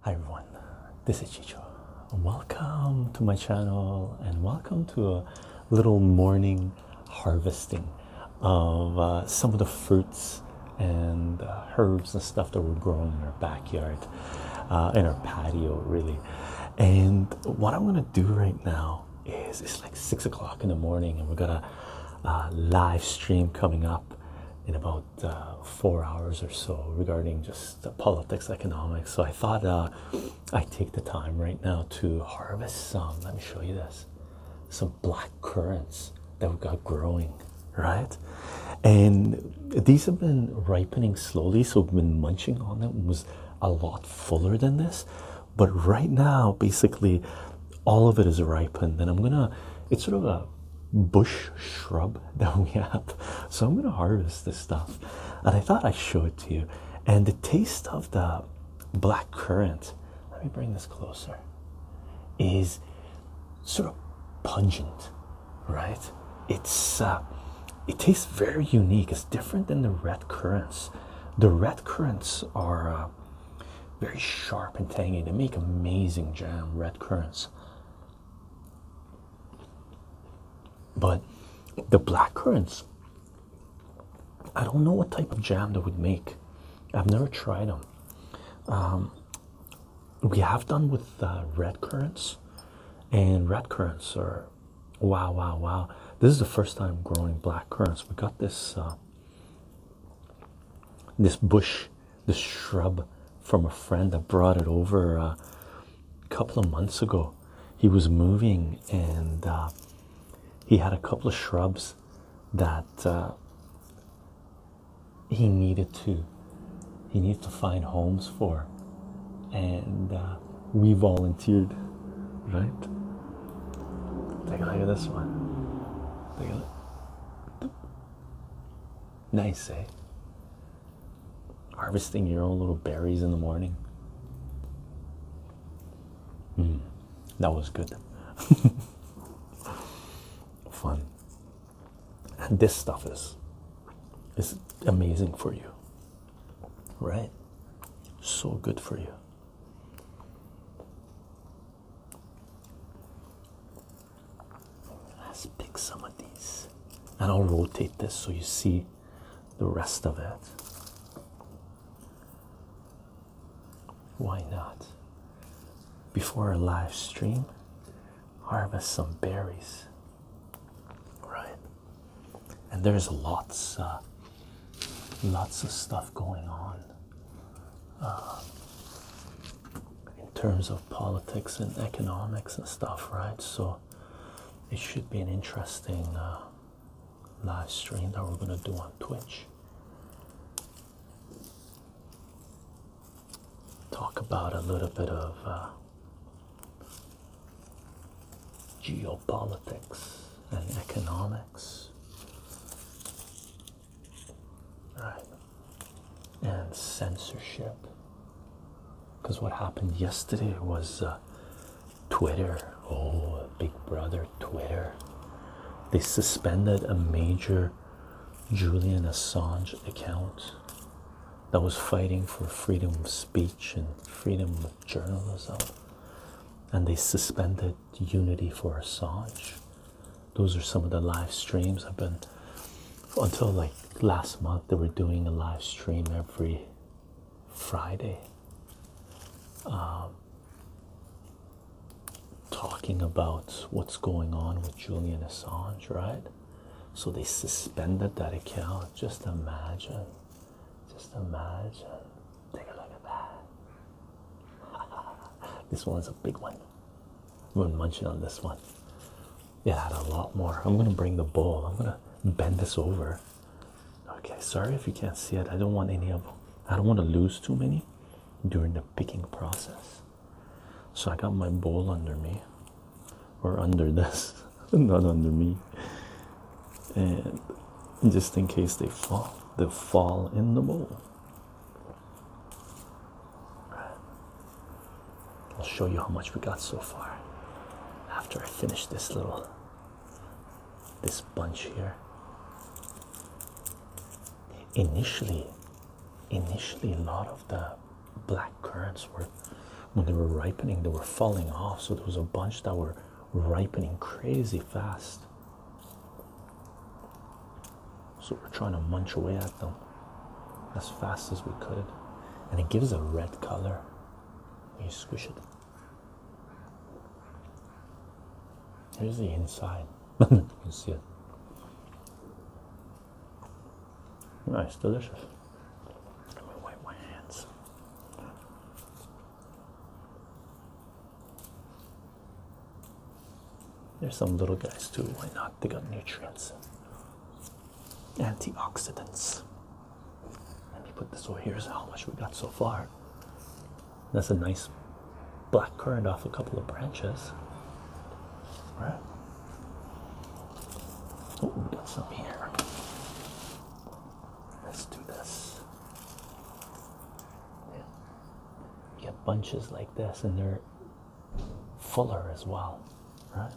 Hi everyone, this is Chicho. Welcome to my channel and welcome to a little morning harvesting of uh, some of the fruits and uh, herbs and stuff that we're growing in our backyard, uh, in our patio, really. And what I'm going to do right now it's like six o'clock in the morning, and we've got a live stream coming up in about uh, four hours or so regarding just politics, economics. So I thought uh, I'd take the time right now to harvest some. Let me show you this some black currants that we've got growing, right? And these have been ripening slowly, so we've been munching on them. It was a lot fuller than this, but right now basically all of it is ripened and i'm gonna it's sort of a bush shrub that we have so i'm gonna harvest this stuff and i thought i'd show it to you and the taste of the black currant let me bring this closer is sort of pungent right it's uh, it tastes very unique it's different than the red currants the red currants are uh, very sharp and tangy. They make amazing jam, red currants. But the black currants, I don't know what type of jam they would make. I've never tried them. Um, we have done with uh, red currants, and red currants are Wow, wow, wow. This is the first time growing black currants. We got this uh, this bush, this shrub from a friend that brought it over uh, a couple of months ago. He was moving and uh, he had a couple of shrubs that he needed to he needed to find homes for and we volunteered, right? Take a look at this one. Take a look. Nice, eh? Harvesting your own little berries in the morning. Hmm, that was good. Fun. And this stuff is is amazing for you right? So good for you. Let's pick some of these and I'll rotate this so you see the rest of it. Why not? Before a live stream, harvest some berries, right? and there's lots uh, lots of stuff going on uh, in terms of politics and economics and stuff right so it should be an interesting uh, live stream that we're going to do on twitch talk about a little bit of uh, geopolitics and economics. Right. And censorship. Because what happened yesterday was uh, Twitter, oh, Big Brother Twitter. They suspended a major Julian Assange account that was fighting for freedom of speech and freedom of journalism and they suspended Unity for Assange. Those are some of the live streams I've been until like last month. They were doing a live stream every Friday, um, talking about what's going on with Julian Assange, right? So they suspended that account. Just imagine just imagine. Take a look at that. this one's a big one. I've been munching on this one. It had a lot more. I'm gonna bring the bowl. I'm gonna bend this over. Okay, sorry if you can't see it. I don't want any of I don't want to lose too many during the picking process. So I got my bowl under me or under this. not under me. And just in case they fall, they fall in the bowl. I'll show you how much we got so far after I finish this little this bunch here. Initially, initially a lot of the black currants were when they were ripening, they were falling off. So there was a bunch that were ripening crazy fast. So we're trying to munch away at them as fast as we could. And it gives a red color when you squish it. Here's the inside. you see it. Nice, delicious. I'm wipe my hands. There's some little guys too. Why not? They got nutrients, antioxidants. Let me put this over here. how much we got so far? That's a nice black currant off a couple of branches. All right? Oh, we got some here. Let's do this. You get bunches like this, and they're fuller as well, right?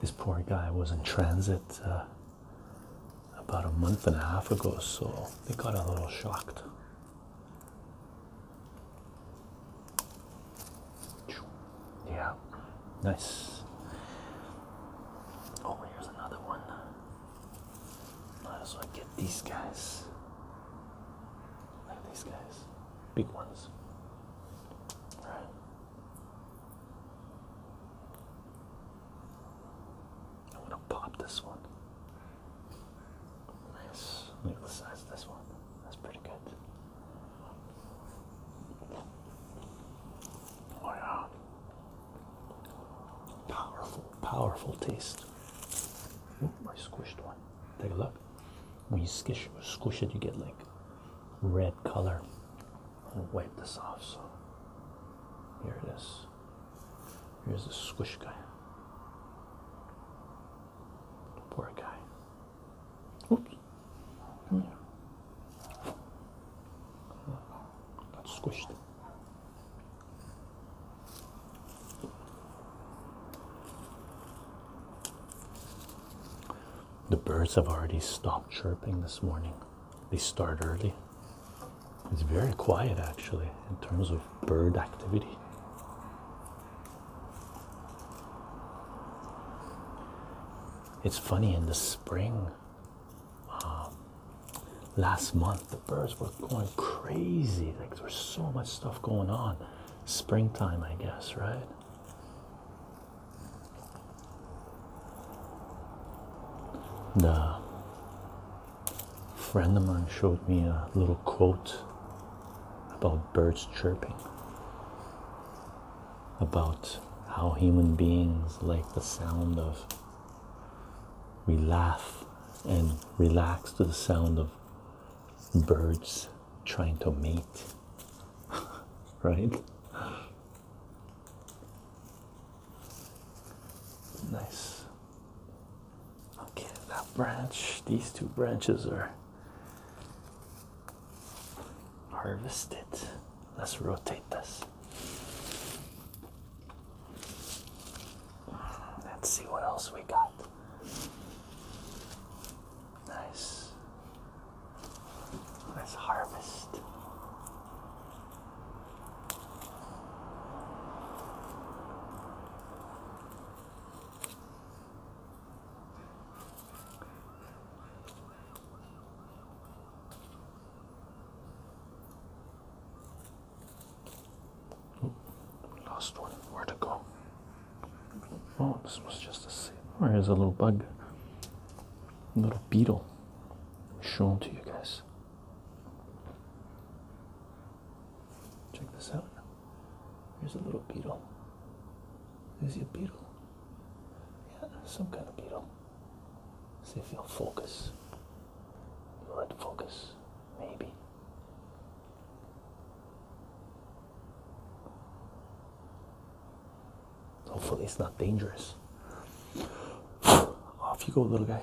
This poor guy was in transit uh, about a month and a half ago, so they got a little shocked. Yeah, nice. Oh, here's another one. Might as well get these guys. Look at these guys, big ones. All want gonna pop this one. Nice. Look at the size of this one. That's pretty good. Oh yeah. Powerful, powerful taste. Ooh, I squished one. Take a look. When you squish, it, you get like red color. I'll wipe this off. So here it is. Here's the squish guy. Poor guy. Oops. Come here. The birds have already stopped chirping this morning. They start early. It's very quiet actually in terms of bird activity. It's funny in the spring, um, last month, the birds were going crazy. Like, there so much stuff going on. Springtime, I guess, right? The friend of mine showed me a little quote about birds chirping about how human beings like the sound of we laugh and relax to the sound of birds trying to mate right nice okay that branch these two branches are Harvest it. Let's rotate this. Let's see what else we got. Nice. Let's harvest. Oh, lost one. Where to go? Oh, this was just a seed. Oh, here's a little bug, a little beetle. them to you guys. Check this out. Here's a little beetle. Is he a beetle? Yeah, some kind of beetle. See if you'll focus. Will it focus? Maybe. Hopefully it's not dangerous. Off you go, little guy.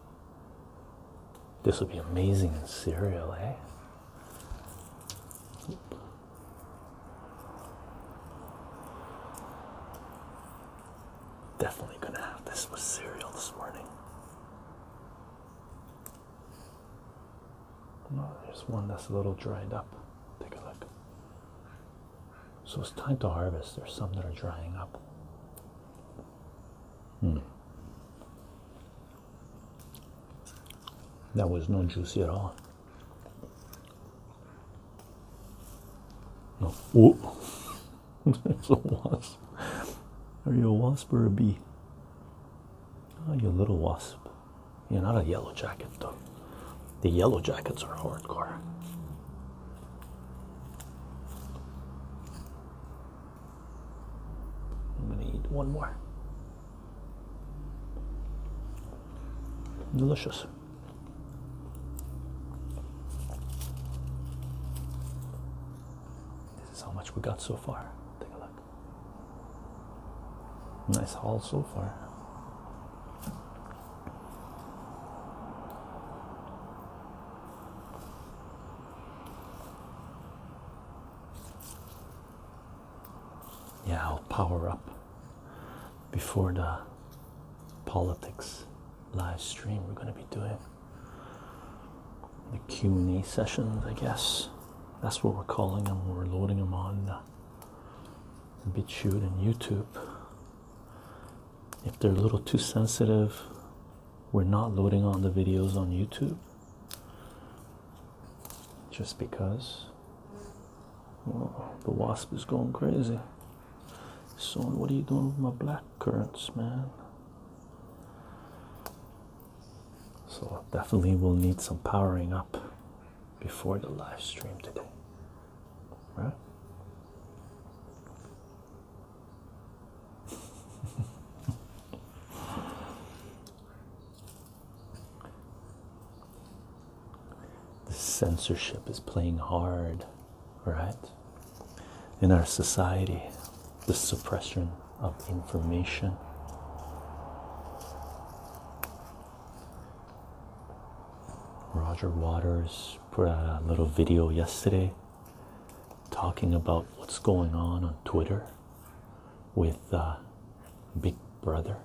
This would be amazing in cereal, eh? Definitely gonna have this with cereal this morning. No, there's one that's a little dried up. Take a look. So it's time to harvest. There's some that are drying up. Hmm. That was no juicy at all. Oh, there's a wasp. Are you a wasp or a bee? Oh, you little wasp. You're not a yellow jacket, though. The yellow jackets are hardcore. I'm gonna eat one more. Delicious. This is how much we got so far. Take a look. Nice haul so far. Yeah, I'll power up before the politics live stream we're going to be doing the Q&A sessions I guess that's what we're calling them we're loading them on uh, BitChute and YouTube if they're a little too sensitive we're not loading on the videos on YouTube just because the wasp is going crazy. So, what are you doing with my black currants, man? So, definitely we will need some powering up before the live stream today, right? The censorship is playing hard, right? In our society, the suppression of information. Roger Waters put out a little video yesterday talking about what's going on on Twitter with uh, Big Brother,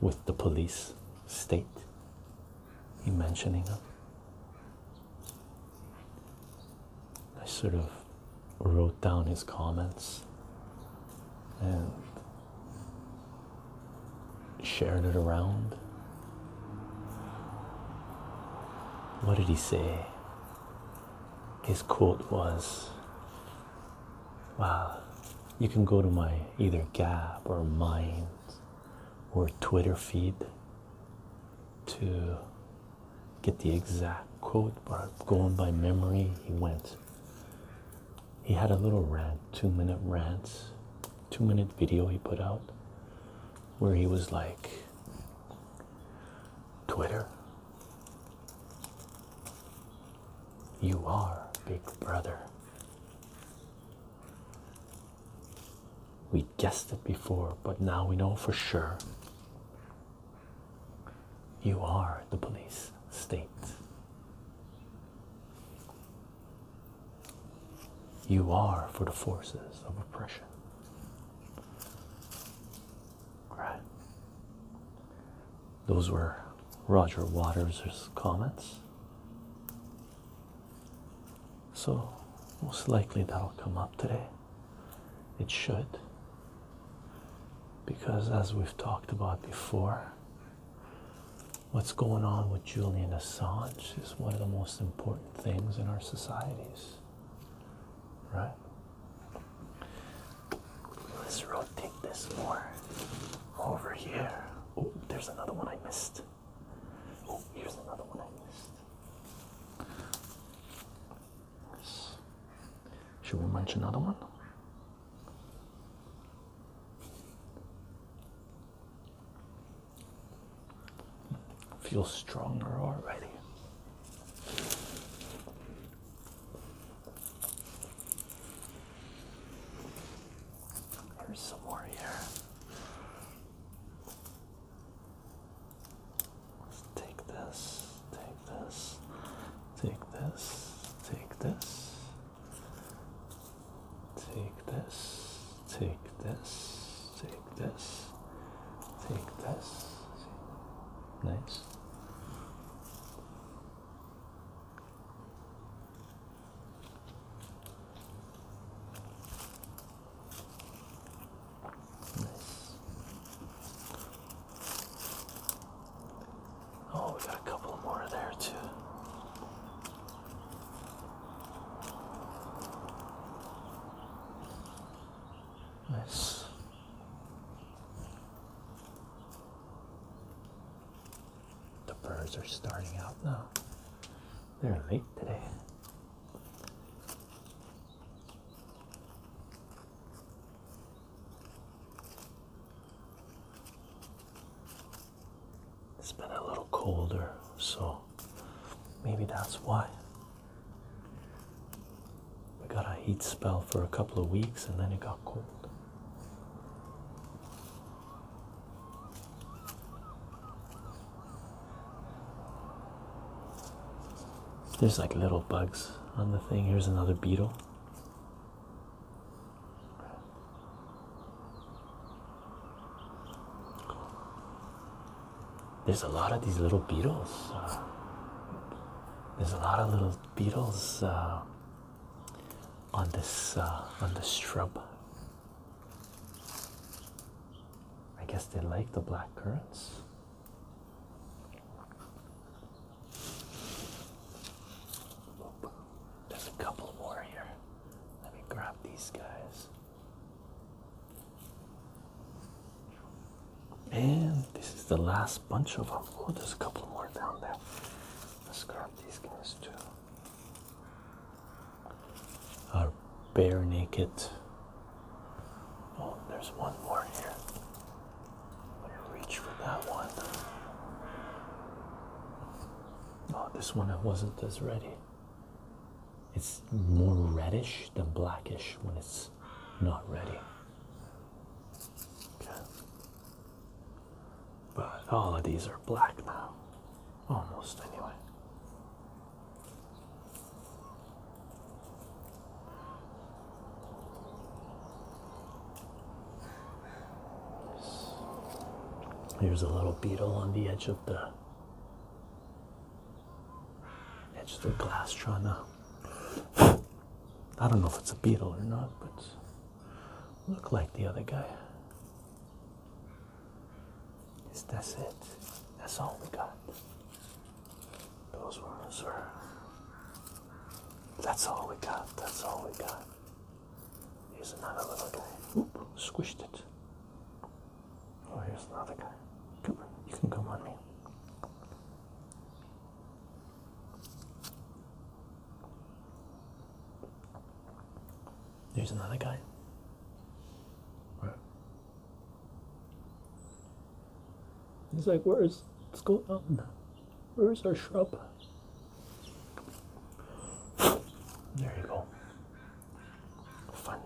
with the police state. He mentioning them. I sort of wrote down his comments and shared it around. What did he say? His quote was, Wow, you can go to my either Gab or Mind or Twitter feed to get the exact quote, but going by memory, he went. He had a little rant, two minute rant, two minute video he put out where he was like Twitter. You are big brother. We guessed it before, but now we know for sure. You are the police state. You are for the forces of oppression. Right. Those were Roger Waters' comments. So, most likely that'll come up today. It should. Because, as we've talked about before, what's going on with Julian Assange is one of the most important things in our societies. Right? Let's rotate this more over here. Oh, there's another one I missed. Oh, here's another one I missed. Should we mention another one? Feel stronger already. There's some more here. take this, take this, take this, take this, Take this, take this, take this, take this. Nice. Nice. Oh, we got a couple more there too. Nice. The birds are starting out now. They're late today. It's been a little colder, so maybe that's why. We got a heat spell for a couple of weeks and then it got cold. There's like little bugs on the thing. Here's another beetle. There's a lot of these little beetles. Uh, there's a lot of little beetles uh, on this uh, on this shrub. I guess they like the black currants. There's a couple more here. Let me grab these guys. And this is the last bunch of them. Oh, there's a couple more down there. Let's grab these guys too. Our bare naked. Oh, there's one more here. Let me reach for that one. Oh, this one I wasn't as ready. It's more reddish than blackish when it's not ready. But all of these are black now, almost anyway. There's a little beetle on the edge of the edge of the glass trying to I don't know if it's a beetle or not, but look like the other guy. that's it. That's all we got. Those ones are that's all we got. That's all we got. Here's another little guy. Oop, squished it. Oh, here's another guy. you can come on me. There's another guy. Where? He's like, where's, let going go out. Where's our shrub? There you go. Fun.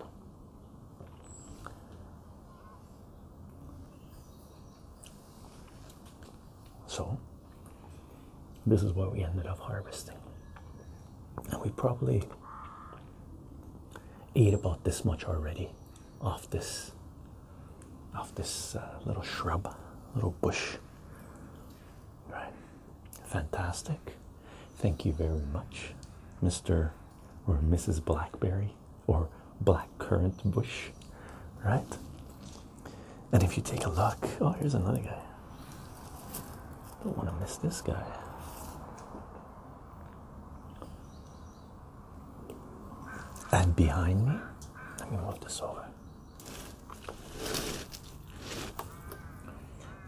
So, this is what we ended up harvesting. And we probably ate about this much already off this off this uh, little shrub, little bush. Right. Fantastic. Thank you very much, Mr. or Mrs. Blackberry or Blackcurrant Bush. Right? And if you take a look, oh, here's another guy. Don't want to miss this guy. And behind me, let me move this over.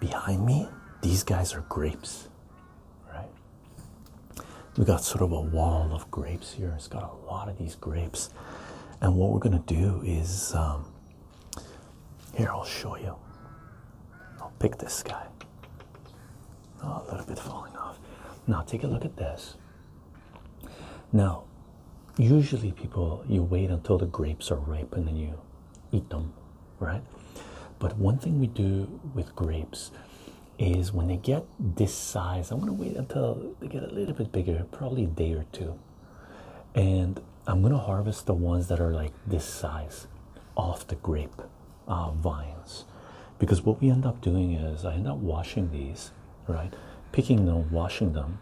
Behind me, these guys are grapes, right? We got sort of a wall of grapes here. It's got a lot of these grapes, and what we're gonna do is um, here. I'll show you. I'll pick this guy. Oh, a little bit falling off. Now take a look at this. Now, usually people you wait until the grapes are ripe and you eat them, right? But one thing we do with grapes is when they get this size, I'm gonna wait until they get a little bit bigger, probably a day or two. And I'm gonna harvest the ones that are like this size off the grape uh, vines. Because what we end up doing is I end up washing these, right? Picking them, washing them,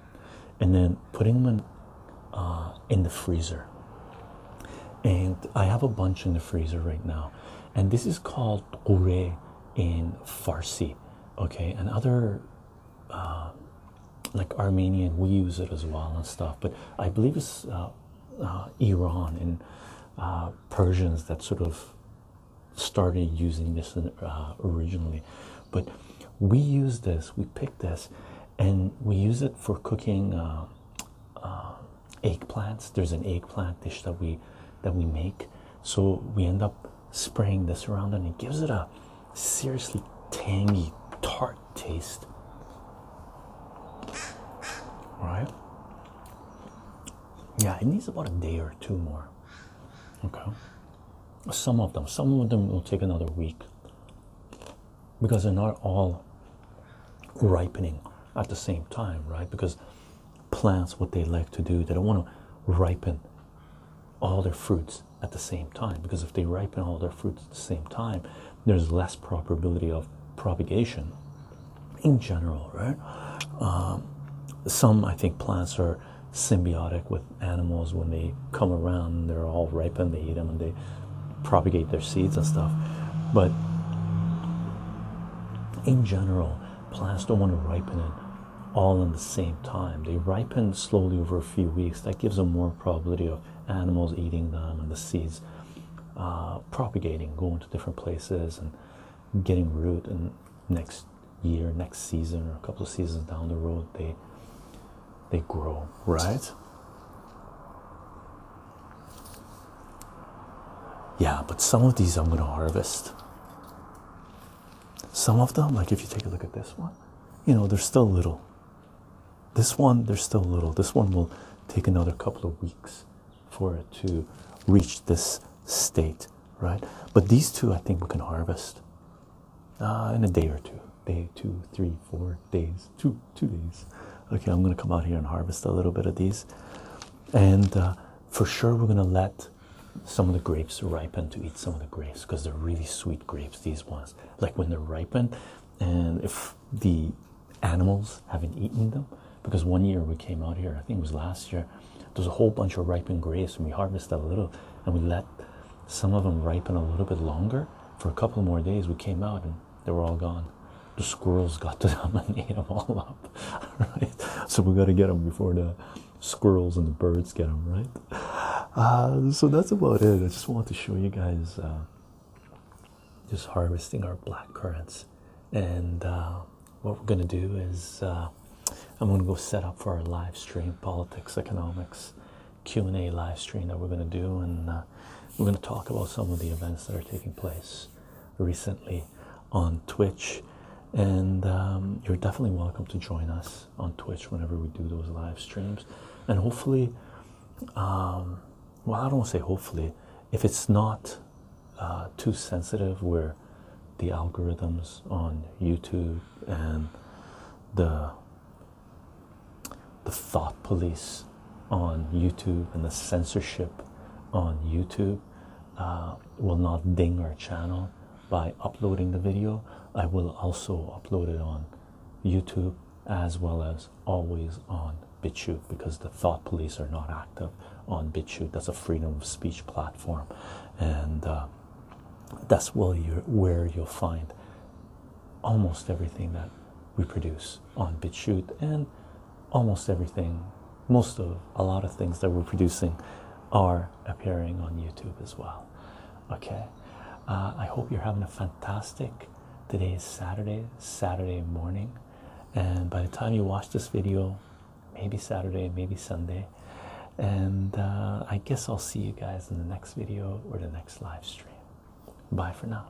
and then putting them uh, in, the freezer. And I have a bunch in the freezer right now. And this is called Qure in Farsi, okay? And other uh, like Armenian, we use it as well and stuff, but I believe it's uh, Iran and Persians that sort of started using this originally. But we use this, we pick this, and we use it for cooking uh, uh, eggplants. There's an eggplant dish that we that we make, so we end up spraying this around, and it gives it a seriously tangy, tart taste. Right? Yeah, it needs about a day or two more. Okay. Some of them, some of them will take another week because they're not all ripening at the same time, right? Because plants, what they like to do, they don't want to ripen all their fruits at the same time because if they ripen all their fruits at the same time, there's less probability of propagation in general, right? Um, some I think plants are symbiotic with animals when they come around they're all ripe and they eat them and they propagate their seeds and stuff but in general plants don't want to ripen it all in the same time they ripen slowly over a few weeks that gives them more probability of animals eating them and the seeds uh, propagating going to different places and getting root and next year next season or a couple of seasons down the road they they grow, right? Yeah, but some of these I'm going to harvest. Some of them, like if you take a look at this one, you know, they're still little. This one, they're still little. This one will take another couple of weeks for it to reach this state, right? But these two, I think we can harvest. Uh, in a day or two day two three four days two two days okay i'm going to come out here and harvest a little bit of these and uh, for sure we're going to let some of the grapes ripen to eat some of the grapes because they're really sweet grapes these ones like when they're ripened and if the animals haven't eaten them because one year we came out here i think it was last year there's a whole bunch of ripened grapes and we harvested a little and we let some of them ripen a little bit longer. For a couple more days, we came out and they were all gone. The squirrels got to them and ate them all up. right? So we got to get them before the squirrels and the birds get them, right? Uh, so that's about it. I just wanted to show you guys uh, just harvesting our black currants. And uh, what we're going to do is I'm going to go set up for our live stream politics, economics. Q&A live stream that we're going to do and uh, we're going to talk about some of the events that are taking place recently on Twitch and um, you're definitely welcome to join us on Twitch whenever we do those live streams and hopefully um, well I don't say hopefully if it's not uh, too sensitive where the algorithms on YouTube and the the thought police on YouTube and the censorship on YouTube uh, will not ding our channel by uploading the video. I will also upload it on YouTube as well as always on BitChute because the thought police are not active on BitChute. That's a freedom of speech platform, and uh, that's where you'll find almost everything that we produce on BitChute and almost everything, most of a lot of things that we're producing are appearing on YouTube as well. Okay, uh, I hope you're having a fantastic today is Saturday, Saturday morning, and by the time you watch this video, maybe Saturday, maybe Sunday, and uh, I guess I'll see you guys in the next video or the next live stream. Bye for now.